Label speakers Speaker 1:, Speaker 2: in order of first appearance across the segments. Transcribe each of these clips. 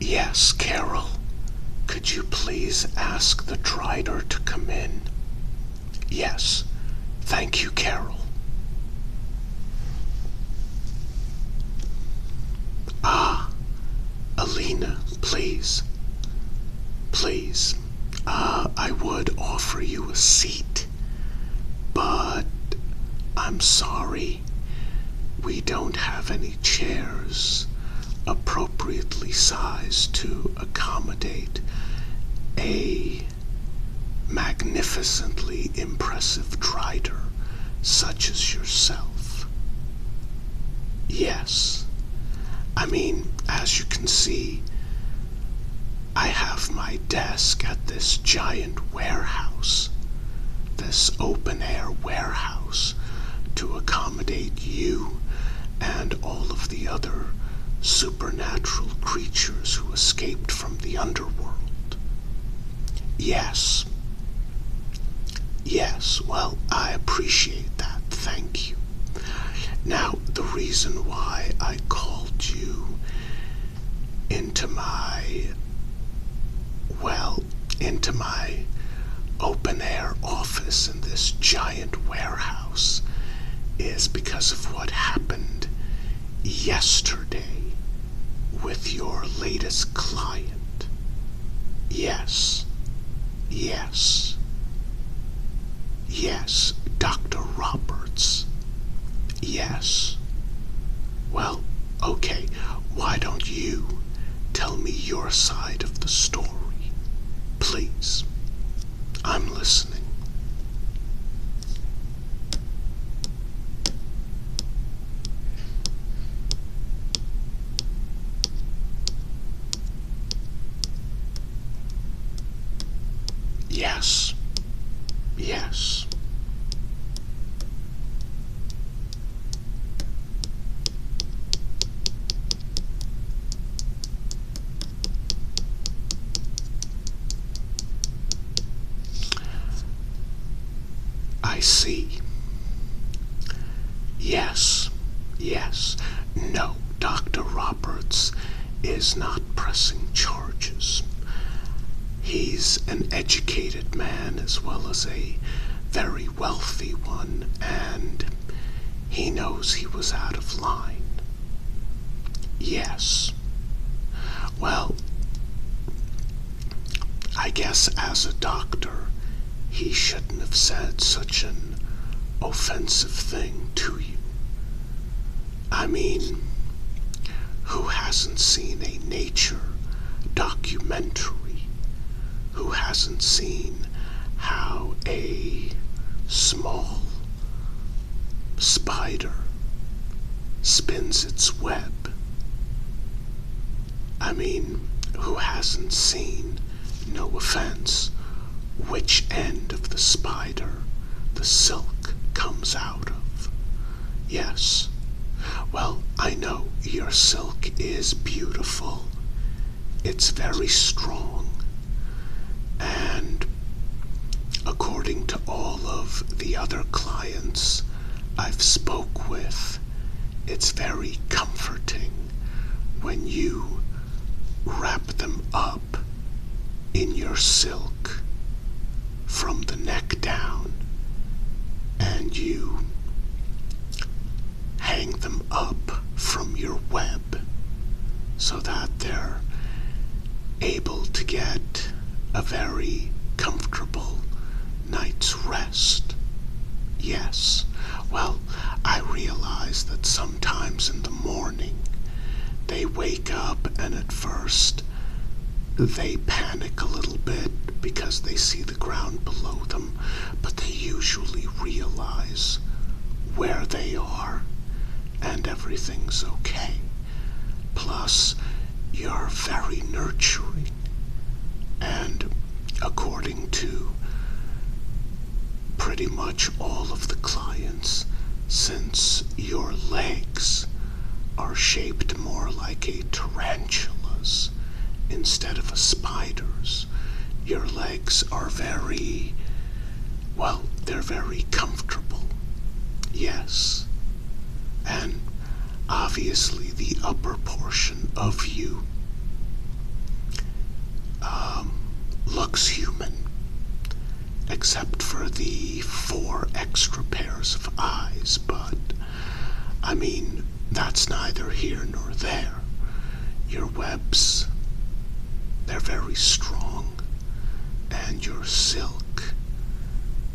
Speaker 1: Yes, Carol. Could you please ask the Trider to come in? Yes. Thank you, Carol. Ah, Alina, please. Please. Uh, I would offer you a seat, but I'm sorry we don't have any chairs appropriately sized to accommodate a magnificently impressive rider such as yourself. Yes, I mean, as you can see, I have my desk at this giant warehouse, this open air warehouse, to accommodate you and all of the other supernatural creatures who escaped from the underworld. Yes. Yes, well, I appreciate that. Thank you. Now, the reason why I called you into my well into my open air office in this giant warehouse is because of what happened yesterday with your latest client. Yes, yes, yes, Dr. Roberts Yes. Well, okay, why don't you tell me your side of the story? Please. I'm listening. Yes. Yes. I see. Yes, yes. No, Dr. Roberts is not pressing charges. He's an educated man as well as a very wealthy one, and he knows he was out of line. Yes. Well, I guess as a doctor, he shouldn't have said such an offensive thing to you. I mean, who hasn't seen a nature documentary? Who hasn't seen how a small spider spins its web? I mean, who hasn't seen, no offense, which end of the spider? the silk comes out of. Yes, well, I know your silk is beautiful. It's very strong. And according to all of the other clients I've spoke with, it's very comforting when you wrap them up in your silk from the neck down and you hang them up from your web so that they're able to get a very comfortable night's rest. Yes, well, I realize that sometimes in the morning they wake up, and at first, they panic a little bit because they see the ground below them, but they usually realize where they are and everything's okay. Plus, you're very nurturing, and according to pretty much all of the clients, since your legs are shaped more like a tarantula's instead of a spider's. Your legs are very, well, they're very comfortable. Yes. And obviously the upper portion of you um, looks human except for the four extra pairs of eyes, but I mean, that's neither here nor there. Your webs, they're very strong, and your silk,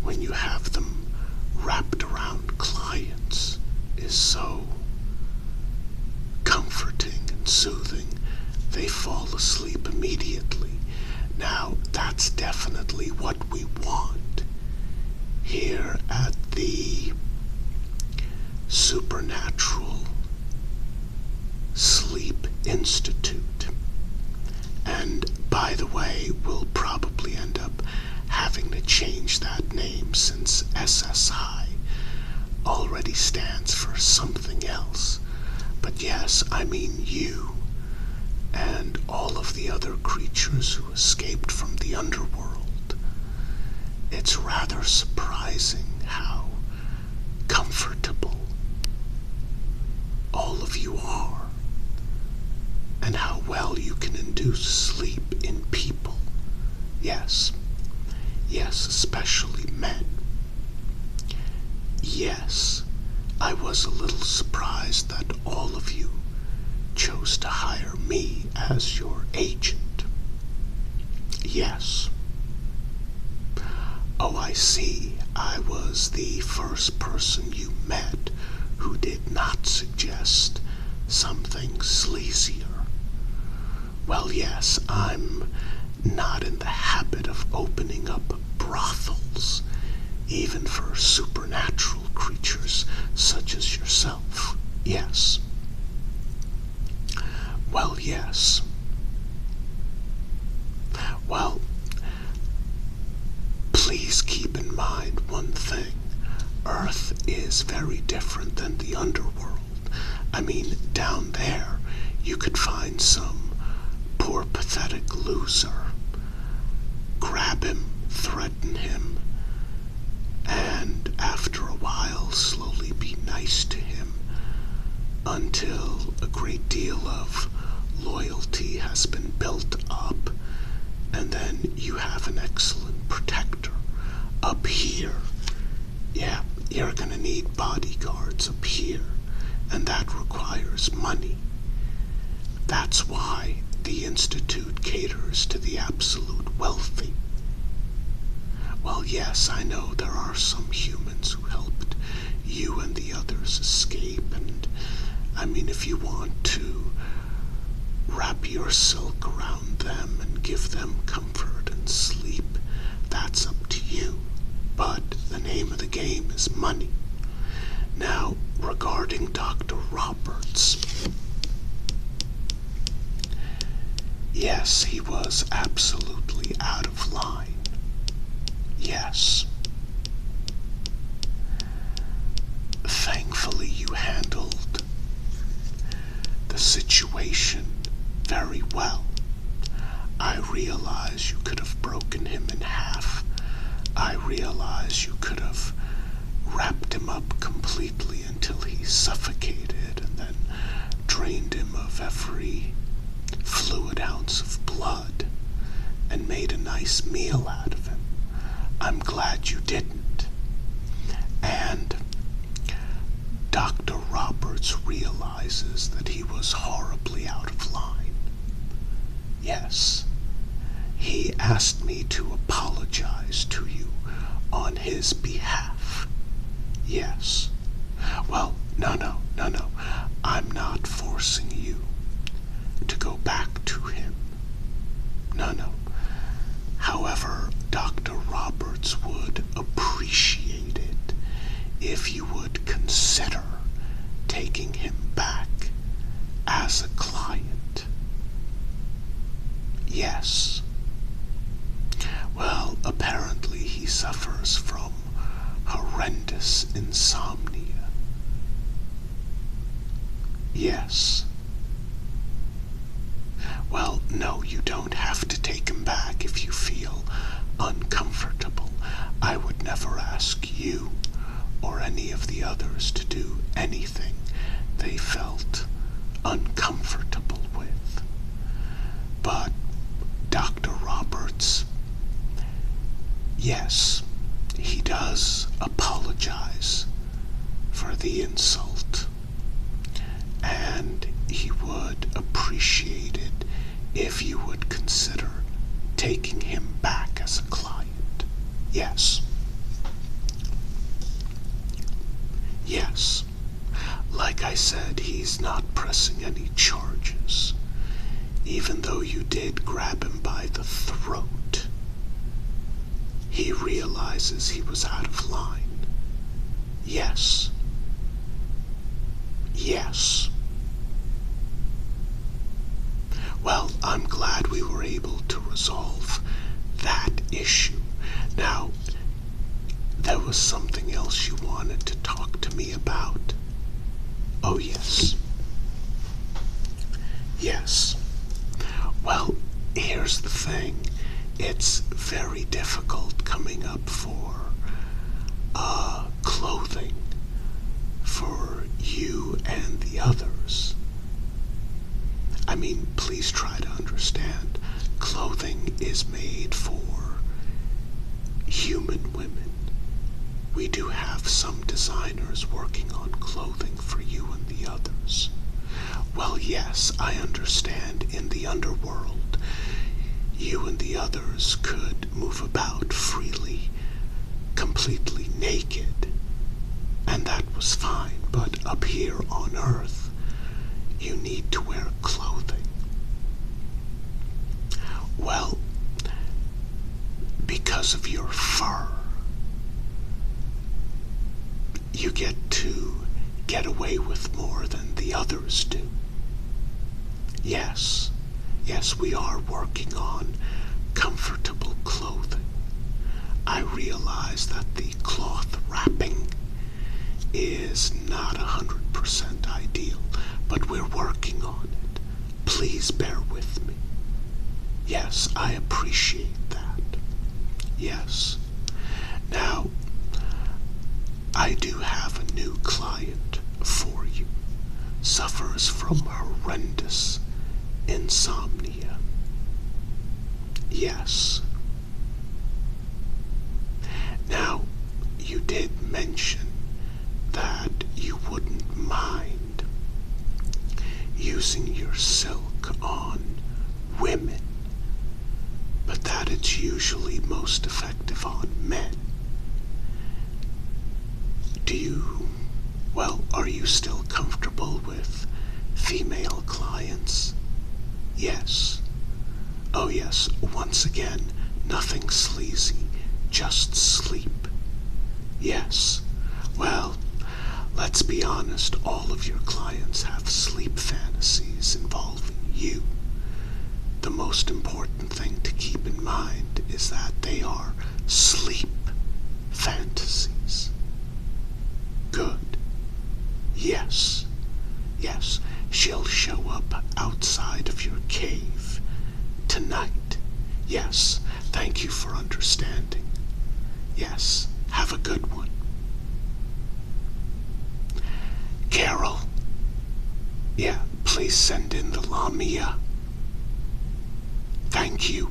Speaker 1: when you have them wrapped around clients, is so comforting and soothing, they fall asleep immediately. Now, that's definitely what we want here at the Supernatural Sleep Institute. And by the way, we'll probably end up having to change that name since SSI already stands for something else. But yes, I mean you and all of the other creatures who escaped from the underworld. It's rather surprising how comfortable all of you are, and how well you can induce sleep in people. Yes, Yes. especially men. Yes, I was a little surprised that all of you chose to hire me as your agent. Yes. Oh, I see. I was the first person you met who did not suggest something sleazier well, yes, I'm not in the habit of opening up brothels, even for supernatural creatures such as yourself. Yes. Well, yes. Well, please keep in mind one thing Earth is very different than the underworld. I mean, down there, you could find some poor, pathetic loser, grab him, threaten him, and after a while, slowly be nice to him until a great deal of loyalty has been built up, and then you have an excellent protector. Up here, yeah, you're gonna need bodyguards up here, and that requires money. That's why the Institute caters to the absolute wealthy. Well, yes, I know there are some humans who helped you and the others escape, and I mean, if you want to wrap your silk around them and give them comfort and sleep, that's up to you. But the name of the game is money. Now, regarding Dr. Roberts, yes, he was absolutely out of line. Yes. Thankfully, you handled the situation very well. I realize you could have broken him in half. I realize you could have wrapped him up completely until he suffocated and then drained him of every fluid ounce of blood and made a nice meal out of him. I'm glad you didn't. And Dr. Roberts realizes that he was horribly out of line. Yes, he asked me to apologize to you on his behalf. Yes. Well, no, no, no, no. I'm not forcing you to go back to him. No, no. However, Dr. Roberts would appreciate it if you would consider taking him back as a client. Yes. Well, apparently he suffers from horrendous insomnia. Yes. Well, no, you don't have to take him back if you feel uncomfortable. I would never ask you or any of the others to do anything they felt uncomfortable with. But Dr. Roberts, yes, he does apologize for the insult. And he would appreciate it if you would consider taking him back as a client. Yes. Yes. Like I said, he's not pressing any charges, even though you did grab him by the throat. He realizes he was out of line. Yes. Yes. Well, I'm glad we were able to resolve that issue. Now, there was something else you wanted to talk to me about. Oh, yes. Yes. Well, here's the thing it's very difficult coming up for uh, clothing for you and the others. I mean, please try to understand. Clothing is made for human women. We do have some design is working on clothing for you and the others. Well, yes, I understand in the underworld you and the others could move about freely, completely naked, and that was fine, but up here on Earth, you need to wear clothing. Well, because of your fur. You get to get away with more than the others do. Yes, yes, we are working on comfortable clothing. I realize that the cloth wrapping is not 100% ideal, but we're working on it. Please bear with me. Yes, I appreciate that. Yes. Now, I do have a new client for you. Suffers from horrendous insomnia. Yes. Now, you did mention that you wouldn't mind using your silk on women, but that it's usually most effective on men. Do you, well, are you still comfortable with female clients? Yes. Oh, yes, once again, nothing sleazy, just sleep Yes. Well, let's be honest, all of your clients have sleep fantasies involving you. The most important thing to keep in mind is that they are sleep fantasies. Good. Yes. Yes, she'll show up outside of your cave tonight. Yes, thank you for understanding. Yes, have a good one. Carol, yeah, please send in the Lamia. Thank you.